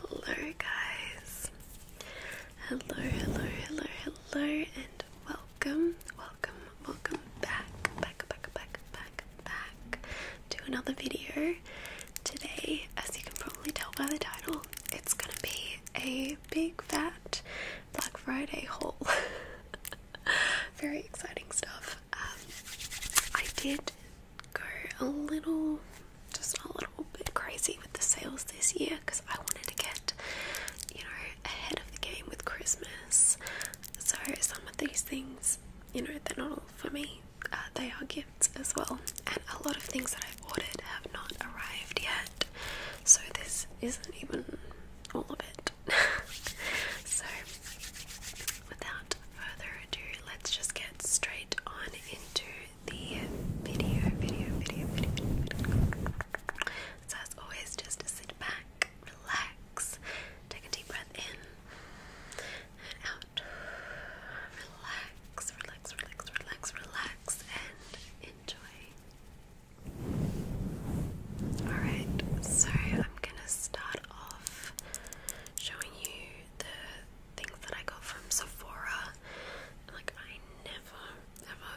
Hello, guys. Hello, hello, hello, hello, and welcome, welcome, welcome back, back, back, back, back, back to another video. Today, as you can probably tell by the title, it's gonna be a big fat Black Friday haul. Very exciting stuff. Um, I did go a little, just a little bit crazy with the sales this year because I wanted to get, you know, ahead of the game with Christmas. So some of these things, you know, they're not for me. Uh, they are gifts as well, and a lot of things that I've ordered have not arrived yet, so this isn't even all of it. so, without further ado, let's just get straight on into the video, video, video, video, video. So, as always, just sit back, relax, take a deep breath in and out. Relax, relax, relax, relax, relax, and enjoy. Alright, so I'm gonna start off showing you the things that I got from Sephora. Like, I never, ever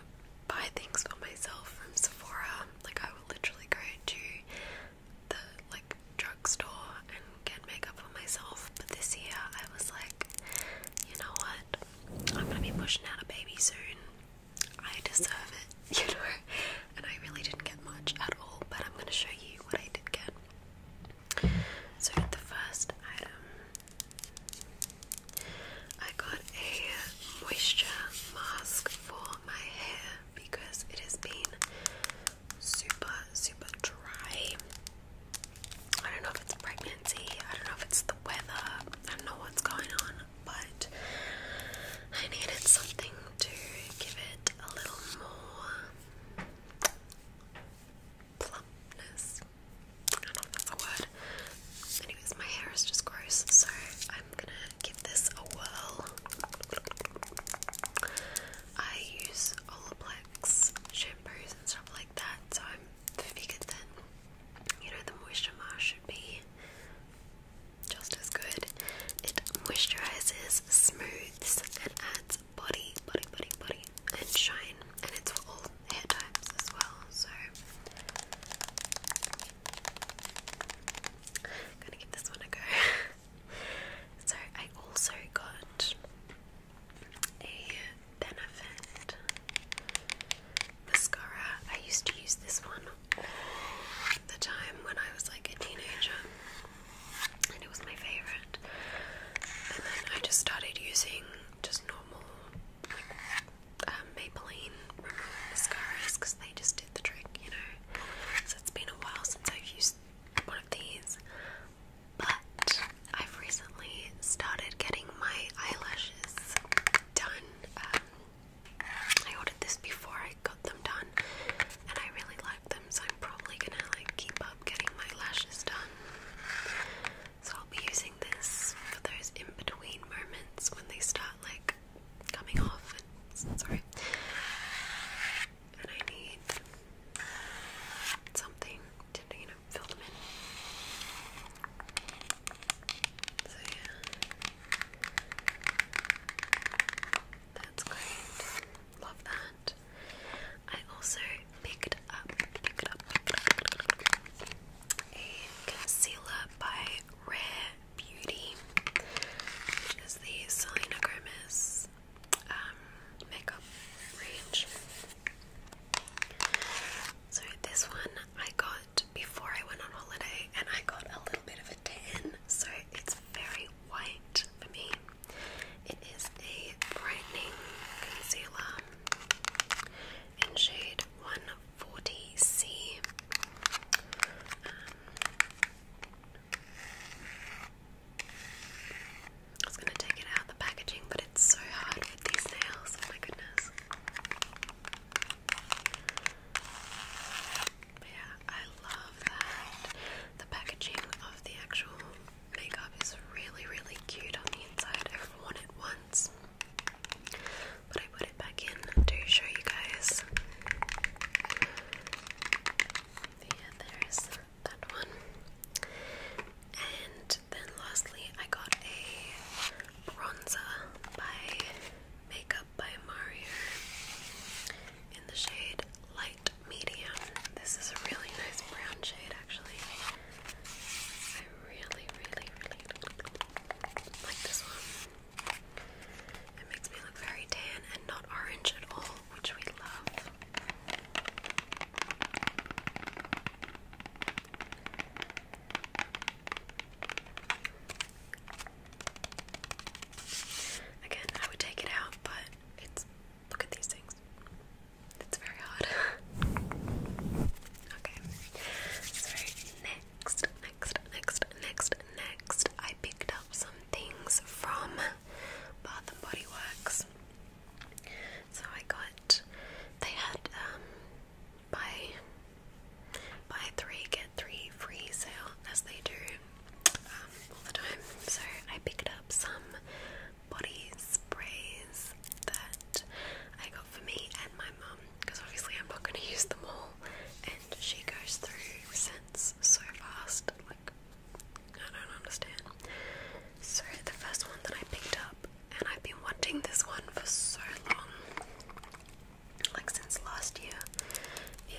buy things for myself from Sephora. Like, I will literally go to the like drugstore and get makeup for myself. But this year I was like, you know what? I'm gonna be pushing out a baby soon. I deserve it, you know. And I really didn't get much at all, but I'm gonna show you what I did get. So the first item I got a moisture mask for my hair because it has been super, super dry. I don't know if it's pregnancy, I don't know if it's the weather, I don't know what's going on, but I needed something to give it a little more plumpness. I don't know if that's a word. Anyways, my hair is just gross, so I'm gonna give this a whirl. I use Olaplex shampoos and stuff like that, so I figured that you know the moisture mask should be just as good. It moisturizes, smooths, and adds body, body, body, body, and shine. And it's for all hair types as well. So gonna give this one a go. so I also got a benefit mascara. I used to use this one all the time when I was like a teenager, and it was my favorite. And then I just started using just normal like, um, Maybelline mascaras because they just did the trick, you know. So it's been a while since I've used one of these, but I've recently started getting my eyelashes done. Um, I ordered this before I got them done, and I really like them, so I'm probably gonna like keep up getting my lashes done. So I'll be using this for those in between moments when they start like coming off. sorry, and I need something to, you know, fill them in. So, yeah. That's great. Love that. I also picked up, up, picked up a concealer by Rare Beauty, which is the Selena Gomez um, makeup range. So this one I got before I went on holiday, and I got a little bit of a tan, so it's very white for me. It is a brightening concealer in shade 140C. I was going to take it out of the packaging, but it's so hard with these nails. Oh my goodness. yeah, I love that. The packaging of the actual makeup is really, really cute on the inside. I've worn it once, but I put it back in to show you guys yeah, there's that one. And then lastly, I got a bronzer by Makeup by Mario in the shade Light Medium. This is a really nice brown shade, actually. I really, really, really like this one. It makes me look very tan and not orange at all, which we love. Again, I would take it out, but it's look at these things. It's very hard. okay. So next next, next, next, next, I picked up some things from Bath and Body Works. So I got, they had um, buy buy three get three free sale as they do um, all the time. So I picked up some body sprays that I got for me and my mum because obviously I'm not going to use them all. And she goes through some events so fast. Like, I don't understand. So, the first one that I picked up, and I've been wanting this one for so long like, since last year,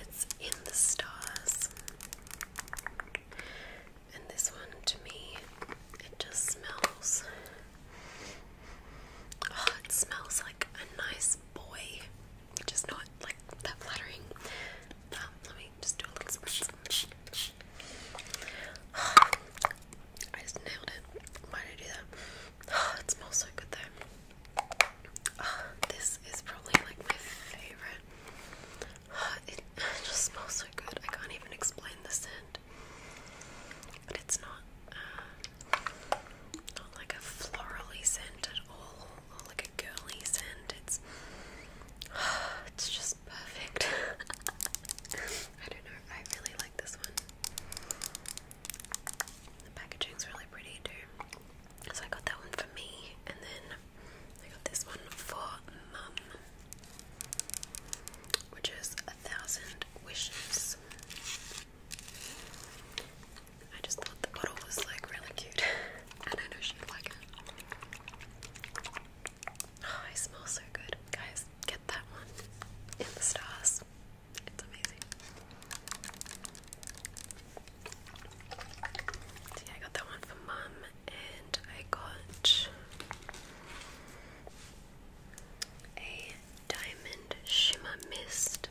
it's In the Stars. And this one, to me, it just smells. Oh, it smells like a nice says boy, which not like that flattering. Um, let me just do a little I just nailed it. Why did I do that? it smells so good though. this is probably like my favorite. it just smells so good. I can't even explain the scent. But it's not. Uh, not like a florally scent at all, like a girly scent. It's it's just perfect. I don't know. I really like this one. The packaging's really pretty too. So I got that one for me, and then I got this one for mum, which is a thousand wishes. I just thought the bottle was like really cute, and I know she'd like it. Oh, it so good, guys! Get that one in the stars. It's amazing. So I got that one for mum, and I got a diamond shimmer mist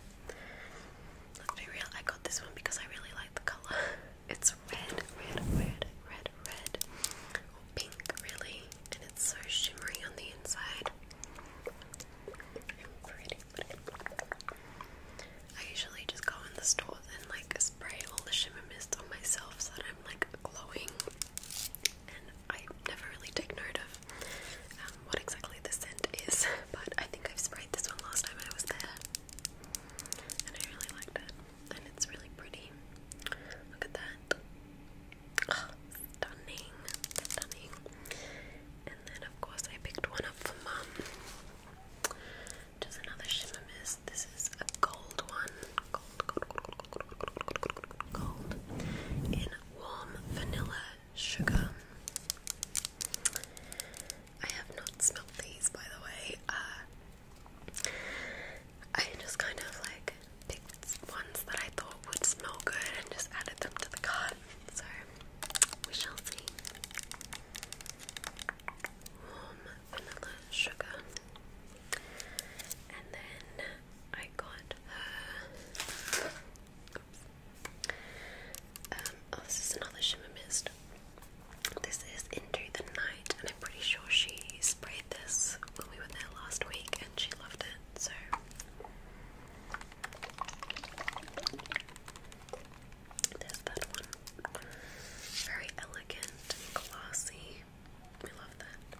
Let's be real, I got this one because I really like the colour. It's red, red, red, red, red. pink, really. And it's so shimmery on the inside. I usually just go in the store and like spray all the shimmer mist on myself so that I'm like glowing. And I never really take note of what exactly the scent is, but I think I've sprayed this one last time I was there. And I really liked it. And it's really pretty. Look at that. stunning. Stunning. And then, of course, I picked one up for mom. Just another shimmer mist. This is a gold one. gold, gold, gold, gold, gold, gold, gold. In warm vanilla sugar. I have not smelled these by the way. Uh, I just kind of like picked ones that I thought would smell good and just added them to the cart. So we shall see. Warm vanilla sugar. And then I got um, oh, this is another shimmer mist. This is Into the Night, and I'm pretty sure she sprayed this when we were there last week and she loved it, so. There's that one. Very elegant, classy. We love that.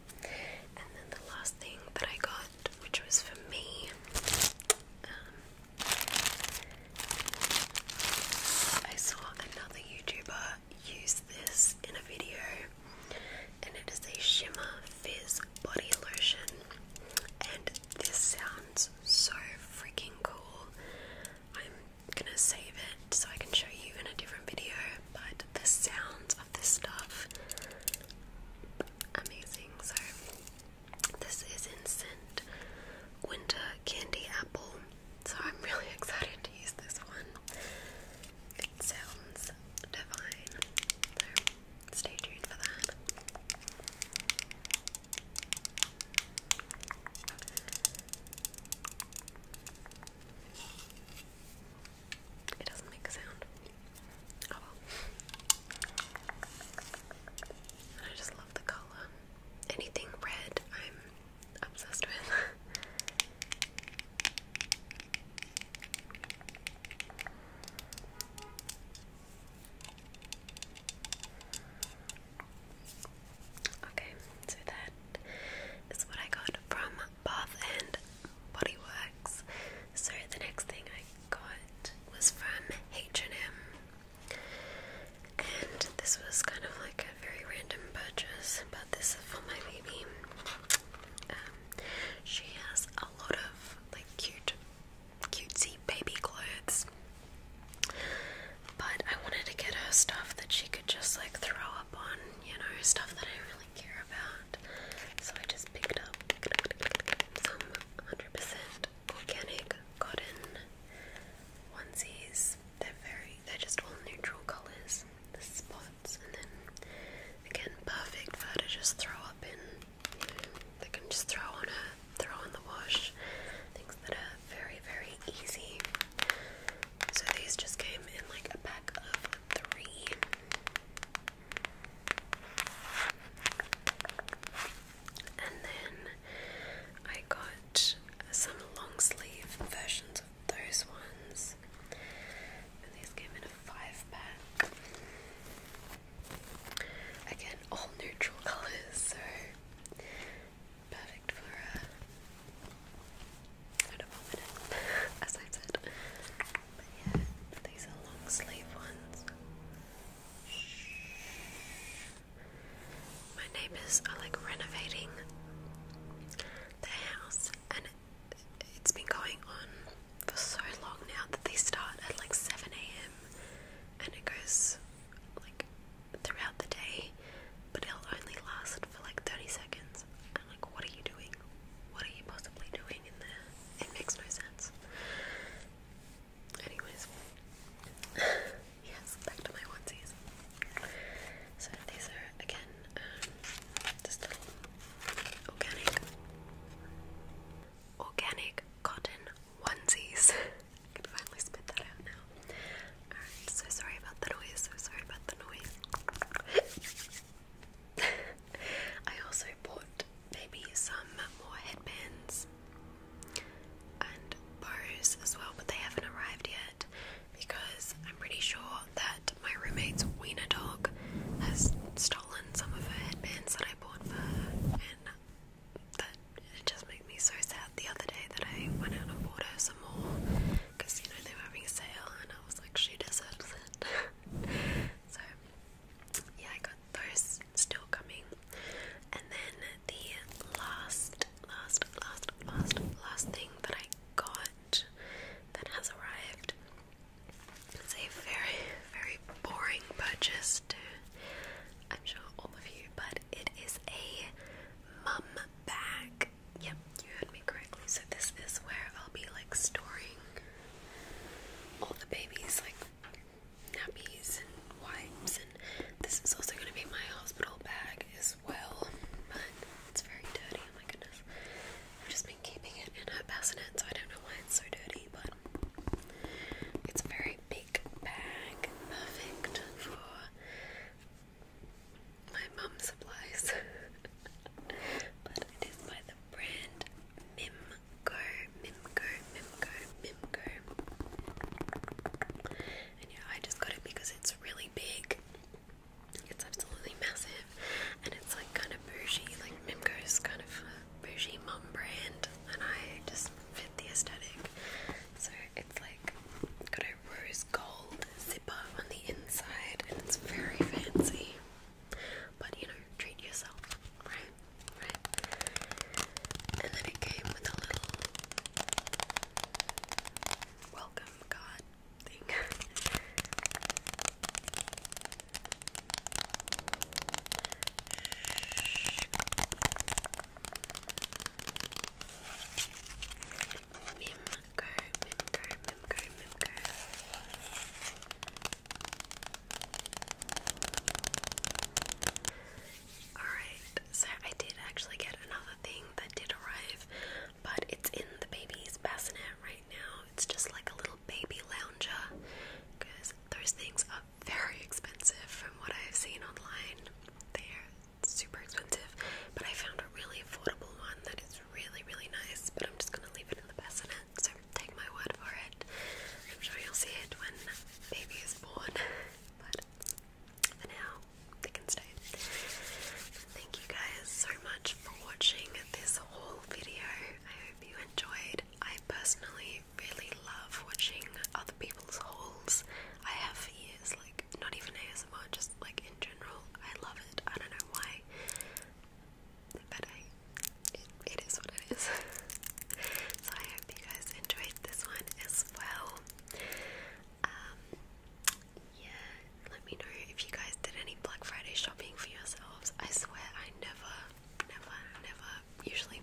And then the last thing that I got, which was for me, um, I saw another YouTuber use this in a video, and it is a Shimmer Fizz Body Lotion. And this sounds so freaking cool. I'm gonna save it so I can show you in a different video, but the sounds of this stuff amazing. So, this is in scent winter candy apple. So, I'm really excited to use this one. sounds divine. So, stay tuned for that. It doesn't make a sound. Oh I just love the color. Anything red, I'm obsessed with. Okay, so that is what I got from Bath and Body Works. So the next thing I got was from H&M, and this was kind of like a very random purchase, but this is for my baby. Um, she has a lot of like cute, cutesy baby clothes, but I wanted to get her stuff that she could just like throw up on, you know, stuff that I really care about. So I just picked up some 100% organic cotton onesies. They're very, they're just all neutral colors, the spots, and then again, perfect for to just throw up in. they can just throw on her, throw on the wash. Things that are very, very easy. So these just came in like a pack of three. And then I got some long sleeve versions of those ones. And these came in a five pack. Again, all neutral colours, so perfect for uh, I don't vomit it, as i said. But yeah, these are long sleeve ones. My neighbours are like renovating their house, and it's been going on for so long now that they start at like 7 a.m. and it goes like throughout the day, but it'll only last for like 30 seconds like, what are you doing? What are you possibly doing in there? It makes no sense. Anyways, yes, back to my onesies. So these are again um, organic, organic cotton onesies. I can finally spit that out now. Alright, so sorry about the noise. So sorry about the noise. I also bought maybe some more headbands and bows as well, but they haven't arrived yet because I'm pretty sure that my roommate's wiener dog has stolen some of her headbands that I bought for her, and that just made me so sad the other day that I went out and bought her some more because you know they were having a sale, and I was like was like, she deserves it. so, yeah, I got those still coming. And then the last, last, last, last, last thing that I got that has arrived is a very, very boring purchase to, I'm sure, all of you, but it is a mum bag yep, you heard me correctly. So this is where I'll be like storing all the babies, like nappies and wipes, and this is also gonna be my hospital bag as well. But it's very dirty. Oh my goodness! I've just been keeping it in her bassinet, so I don't know why it's so dirty, but it's a very big bag, perfect for my mum supplies. but I did buy the brand Mimco, Mimco, Mimco, Mimco. And yeah, I just got it because it's really big. It's absolutely massive. And it's like kind of bougie. Like Mimco is kind of bougie mum brand. And I just fit the aesthetic. So it's like got a rose gold zipper on the inside, and it's very fancy. But you know, treat yourself, right? And then it came with a little welcome card thing. Mimgar, Mimgar, Mimgar, Mimgar. Alright, so I did actually get another thing that did arrive, but it's in the baby's bassinet right now. It's just like a little baby lounger because those things are very expensive from what I've seen online. They super expensive, but I found a really affordable one that is really, really nice. But I'm just gonna leave it in the bassinet, so take my word for it. I'm sure you'll see it when baby is born, but for now, they can stay. Thank you guys so much for watching this whole video. I hope you enjoyed. I personally really love watching other people's hauls I have for years, like not even ASMR, just like in general. I love it. I don't know why, but it, it is what it is. so I hope you guys enjoyed this one as well. Um, yeah, let me know if you guys did any Black Friday shopping for yourselves. I swear I never, never, never usually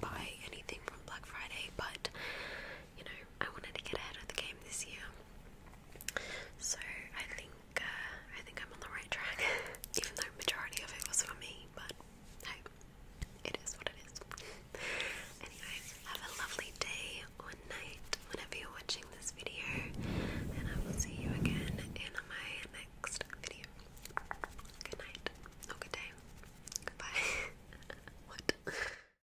buy anything from Black Friday, but you know, I wanted to get ahead of the game this year. So I think uh, I think I'm on the right track, even though majority of it was for me. But hey, it is what it is. Anyways, have a lovely day or night whenever you're watching this video, and I will see you again in my next video. Good night, or good day. Goodbye. what?